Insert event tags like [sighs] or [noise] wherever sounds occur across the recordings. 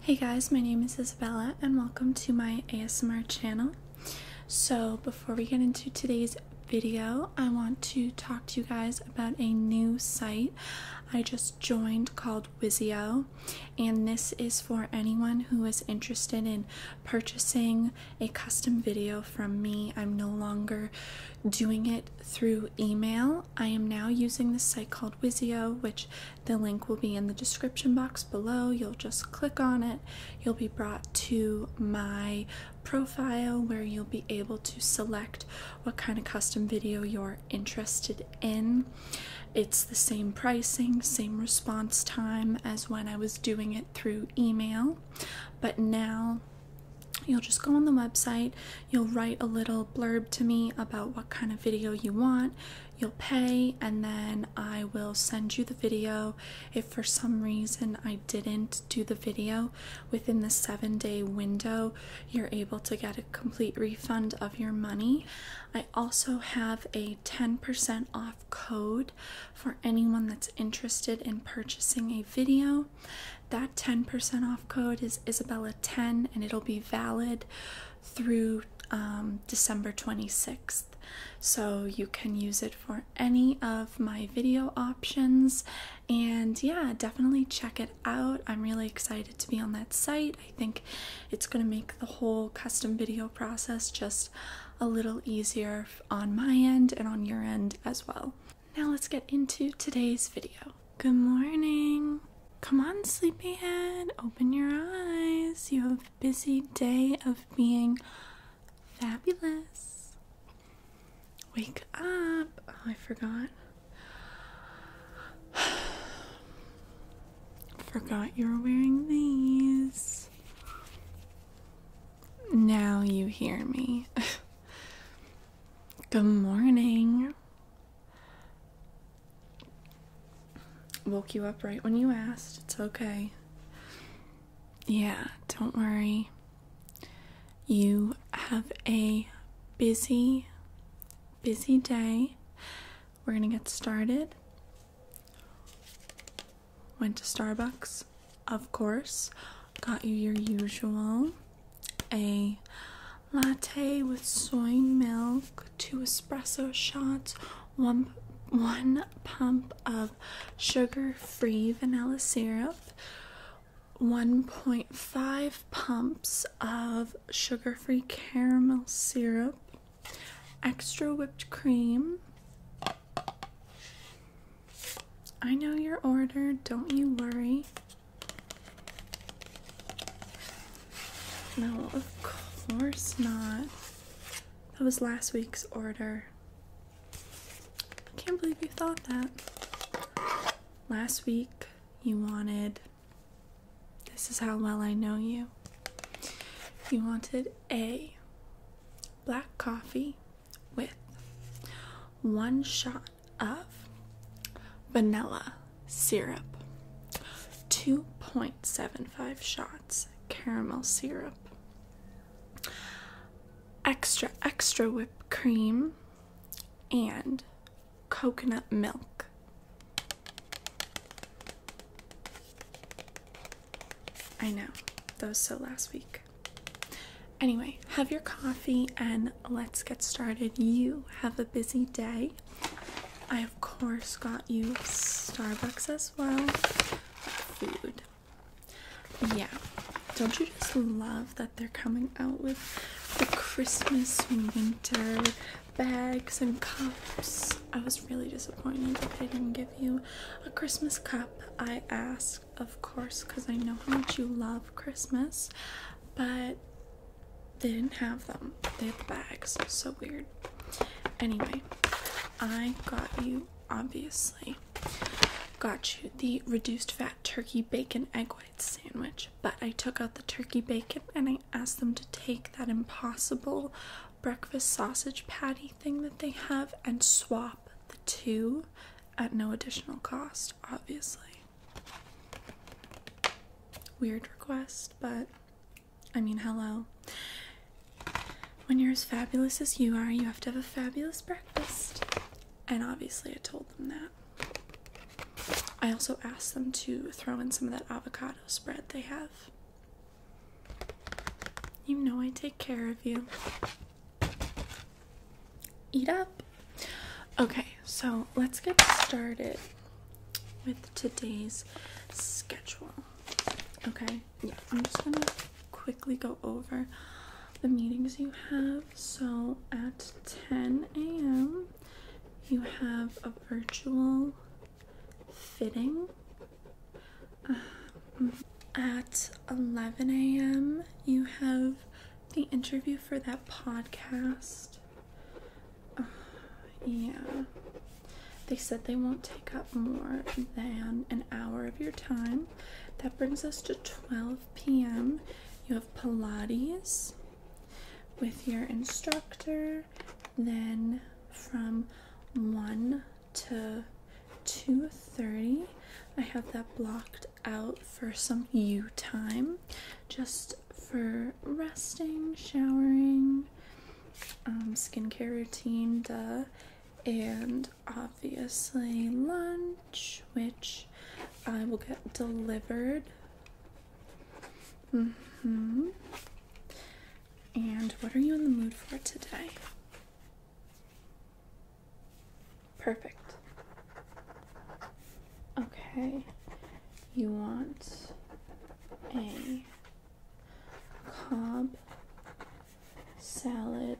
Hey guys, my name is Isabella and welcome to my ASMR channel. So before we get into today's video, I want to talk to you guys about a new site I just joined called Wizio. And this is for anyone who is interested in purchasing a custom video from me. I'm no longer doing it through email. I am now using this site called Wizio, which the link will be in the description box below. You'll just click on it. You'll be brought to my profile where you'll be able to select what kind of custom video you're interested in. It's the same pricing, same response time as when I was doing it through email, but now you'll just go on the website, you'll write a little blurb to me about what kind of video you want, you'll pay and then I will send you the video. If for some reason I didn't do the video within the seven day window, you're able to get a complete refund of your money. I also have a 10% off code for anyone that's interested in purchasing a video. That 10% off code is Isabella10 and it'll be valid through um, December 26th. So you can use it for any of my video options. And yeah, definitely check it out. I'm really excited to be on that site. I think it's going to make the whole custom video process just a little easier on my end and on your end as well. Now let's get into today's video. Good morning! Come on, sleepyhead, open your eyes. You have a busy day of being fabulous. Wake up. Oh, I forgot. [sighs] forgot you are wearing these. Now you hear me. [laughs] Good morning. Woke you up right when you asked. It's okay. Yeah, don't worry. You have a busy, busy day. We're gonna get started. Went to Starbucks, of course. Got you your usual a latte with soy milk, two espresso shots, one one pump of sugar-free vanilla syrup, 1.5 pumps of sugar-free caramel syrup, extra whipped cream. I know your order, don't you worry. No, of course not. That was last week's order. I can't believe you thought that. Last week, you wanted. This is how well I know you. You wanted a black coffee with one shot of vanilla syrup. 2.75 shots caramel syrup. Extra, extra whipped cream and coconut milk. I know, those. so last week. Anyway, have your coffee and let's get started. You have a busy day. I of course got you Starbucks as well. Food. Yeah. Don't you just love that they're coming out with the Christmas winter bags and cups? I was really disappointed that they didn't give you a Christmas cup. I asked, of course, because I know how much you love Christmas, but they didn't have them. They had the bags. So weird. Anyway, I got you, obviously, got you the reduced fat turkey bacon egg white sandwich, but I took out the turkey bacon and I asked them to take that impossible breakfast sausage patty thing that they have and swap the two at no additional cost, obviously. Weird request, but I mean, hello. When you're as fabulous as you are, you have to have a fabulous breakfast. And obviously, I told them that. I also asked them to throw in some of that avocado spread they have. You know, I take care of you. Eat up. Okay, so let's get started with today's schedule. Okay, yeah, I'm just gonna quickly go over the meetings you have. So at 10 a.m., you have a virtual fitting. Um, at 11 a.m., you have the interview for that podcast. [sighs] yeah. They said they won't take up more than an hour of your time. That brings us to 12 p.m. You have Pilates with your instructor. Then from 1 to 2:30, I have that blocked out for some you time. Just for resting, showering, um, skincare routine, duh, and obviously lunch, which I will get delivered. hmm And what are you in the mood for today? Perfect. Okay. You want a Cobb salad,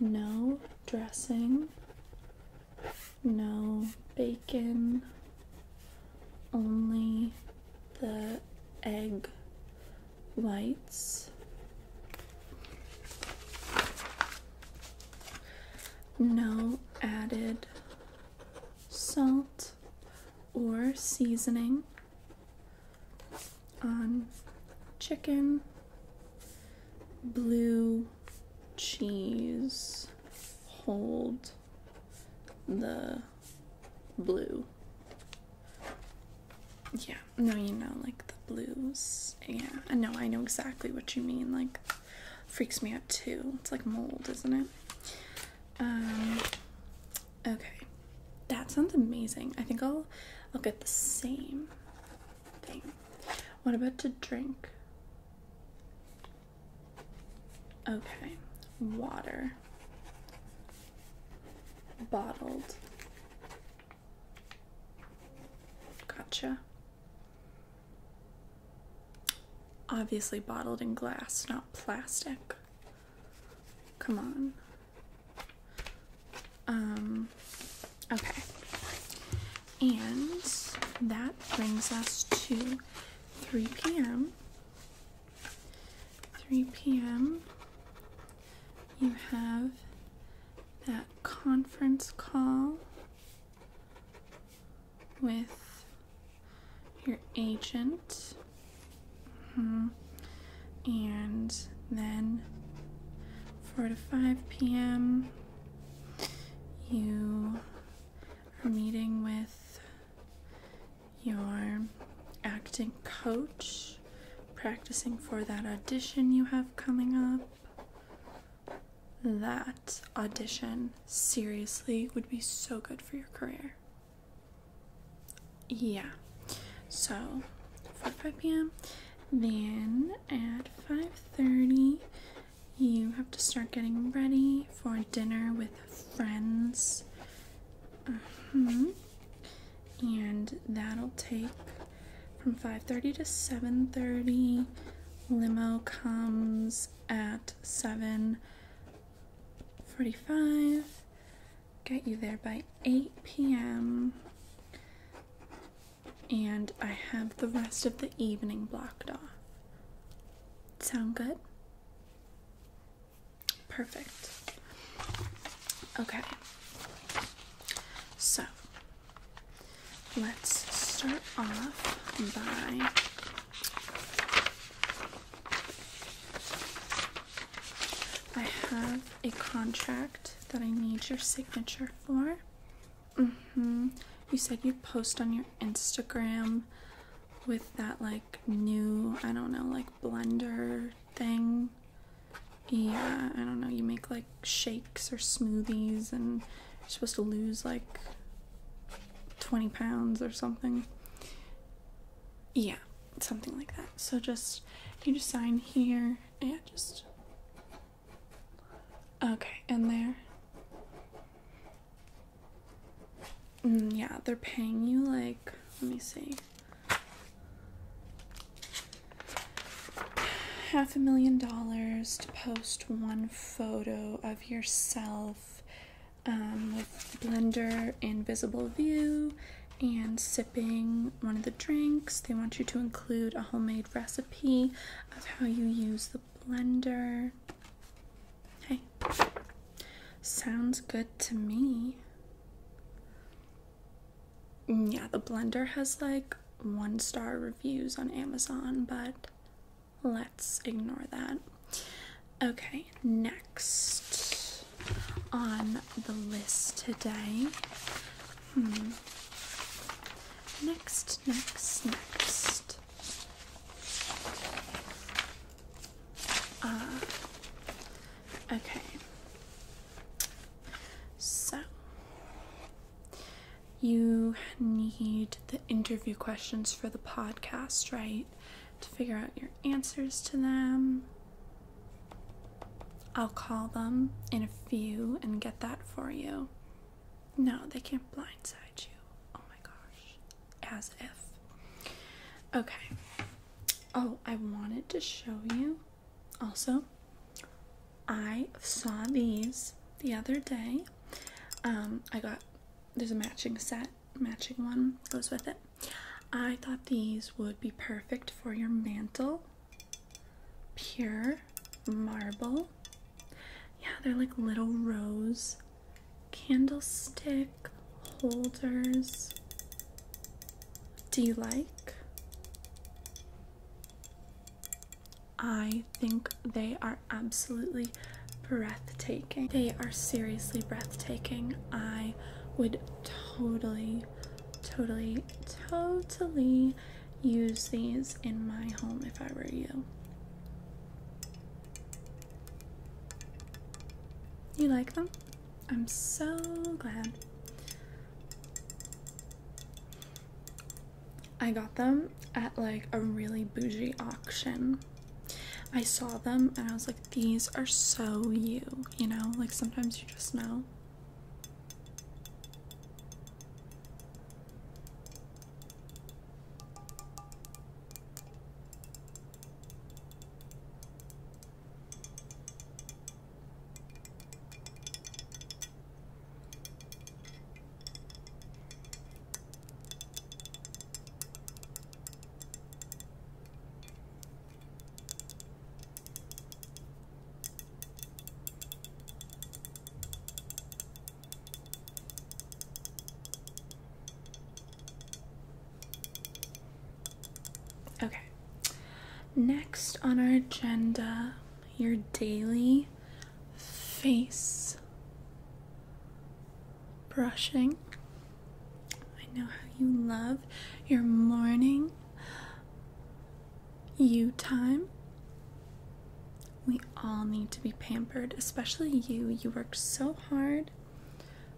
no dressing, no bacon, only the egg whites. No added salt or seasoning on chicken, blue cheese, hold the blue. Yeah, no, you know, like the blues. Yeah, I know, I know exactly what you mean. Like, freaks me out too. It's like mold, isn't it? Um, okay, that sounds amazing. I think I'll I'll get the same thing. What about to drink? Okay, water. Bottled. Gotcha. Obviously, bottled in glass, not plastic. Come on. Um, okay. And that brings us to 3 p.m. 3 p.m. You have that conference call with your agent. Mm-hmm. And then 4 to 5 p.m., you are meeting with your acting coach, practicing for that audition you have coming up that audition seriously would be so good for your career. Yeah. So, 5 p.m. Then at 5:30, you have to start getting ready for dinner with friends. Mm-hmm. And that'll take from 5:30 to 7:30. Limo comes at 7. 45. Get you there by 8 p.m. And I have the rest of the evening blocked off. Sound good? Perfect. Okay. So, let's start off by I have a contract that I need your signature for. Mm-hmm. You said you'd post on your Instagram with that like new, I don't know, like blender thing. Yeah, I don't know. You make like shakes or smoothies and you're supposed to lose like 20 pounds or something yeah, something like that. So just you just sign here. Yeah, just okay, and there. Mm, yeah, they're paying you like let me see. half a million dollars to post one photo of yourself um, with blender invisible view and sipping one of the drinks. They want you to include a homemade recipe of how you use the blender. Hey, sounds good to me. Yeah, the blender has like one star reviews on Amazon, but let's ignore that. Okay, next on the list today. Hmm. Next, next, next. Uh, okay. So, you need the interview questions for the podcast, right? to figure out your answers to them. I'll call them in a few and get that for you. No, they can't blindside you. Oh my gosh. As if. Okay. Oh, I wanted to show you also. I saw these the other day. Um, I got there's a matching set matching one goes with it. I thought these would be perfect for your mantle. Pure marble. Yeah, they're like little rose candlestick holders. Do you like? I think they are absolutely breathtaking. They are seriously breathtaking. I would totally, totally, totally use these in my home if I were you. You like them? I'm so glad. I got them at like a really bougie auction. I saw them and I was like, these are so you, you know? Like sometimes you just know. Okay. Next on our agenda, your daily face brushing. I know how you love your morning you time. We all need to be pampered, especially you. You worked so hard.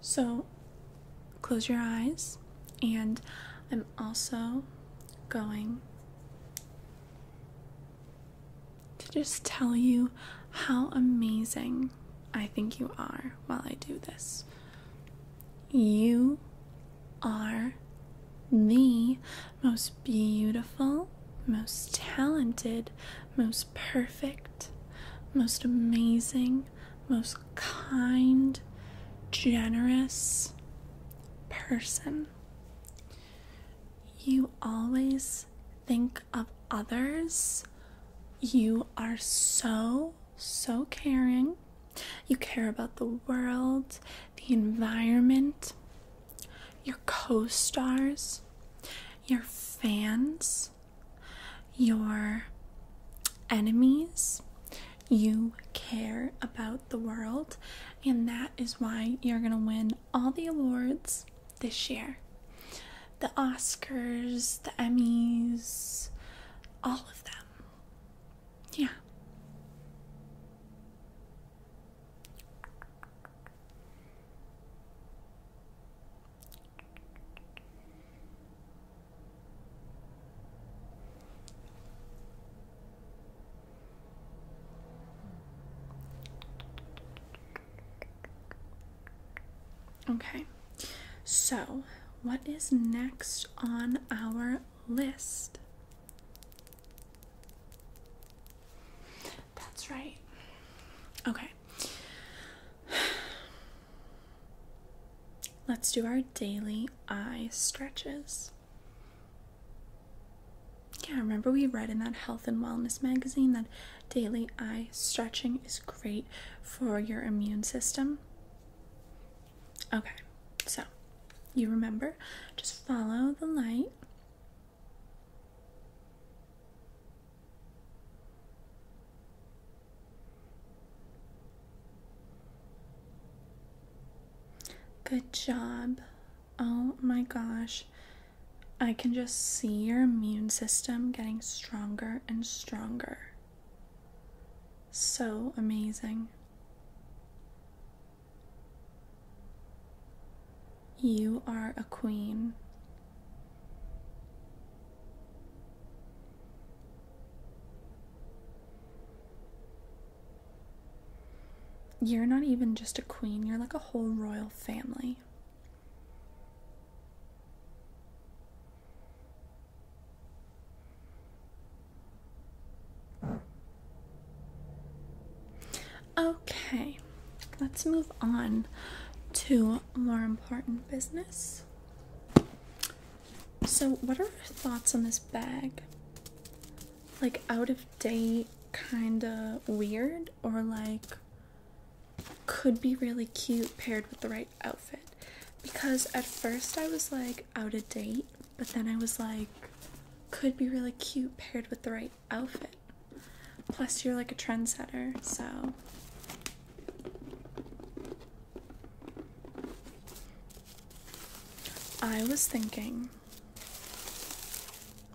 So close your eyes, and I'm also going to just tell you how amazing I think you are while I do this. You are the most beautiful, most talented, most perfect, most amazing, most kind, generous person. You always think of others. You are so, so caring. You care about the world, the environment, your co stars, your fans, your enemies. You care about the world, and that is why you're going to win all the awards this year. The Oscars, the Emmys, all of them. Yeah. Okay, so what is next on our list? That's right. Okay. Let's do our daily eye stretches. Yeah, remember we read in that health and wellness magazine that Daily eye stretching is great for your immune system. Okay, so you remember, just follow the light. Good job. Oh my gosh. I can just see your immune system getting stronger and stronger. So amazing. You are a queen. You're not even just a queen, you're like a whole royal family. Okay, let's move on to more important business. So, what are your thoughts on this bag? Like, out of date, kind of weird, or like could be really cute paired with the right outfit. Because at first I was like out of date, but then I was like, could be really cute paired with the right outfit. Plus, you're like a trendsetter, so. I was thinking,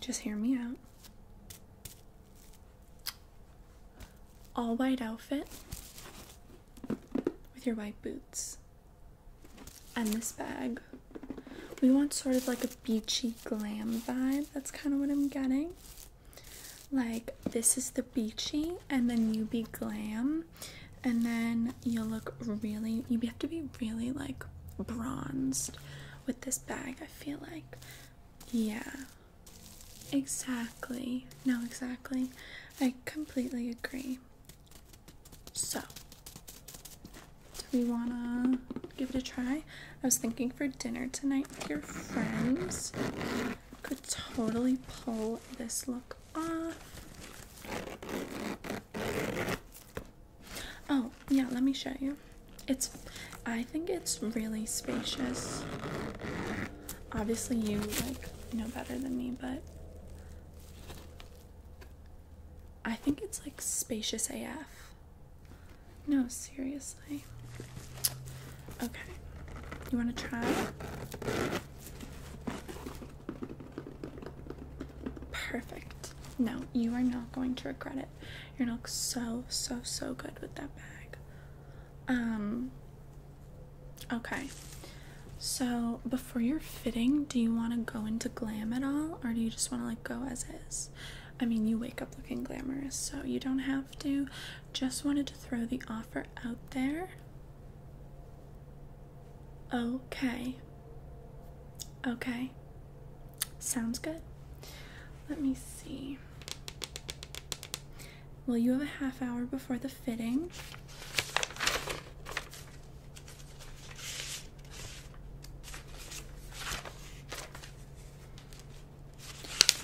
just hear me out all white outfit with your white boots and this bag. We want sort of like a beachy glam vibe. That's kind of what I'm getting. Like, this is the beachy, and then you be glam, and then you look really, you have to be really like bronzed with this bag, I feel like. Yeah. Exactly. No, exactly. I completely agree. So, do we want to give it a try? I was thinking for dinner tonight your friends. Could totally pull this look off. Oh, yeah, let me show you. It's I think it's really spacious. Obviously, you like know better than me, but I think it's like spacious AF. No, seriously. Okay. You want to try? Perfect. No, you are not going to regret it. You're going to look so, so, so good with that bag. Um, okay. So before your fitting, do you want to go into glam at all, or do you just want to like go as is? I mean, you wake up looking glamorous, so you don't have to. Just wanted to throw the offer out there. Okay. Okay. Sounds good. Let me see. Well, you have a half hour before the fitting.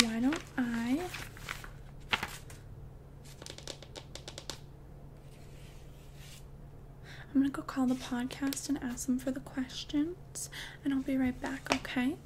Why don't I? I'm gonna go call the podcast and ask them for the questions, and I'll be right back, okay?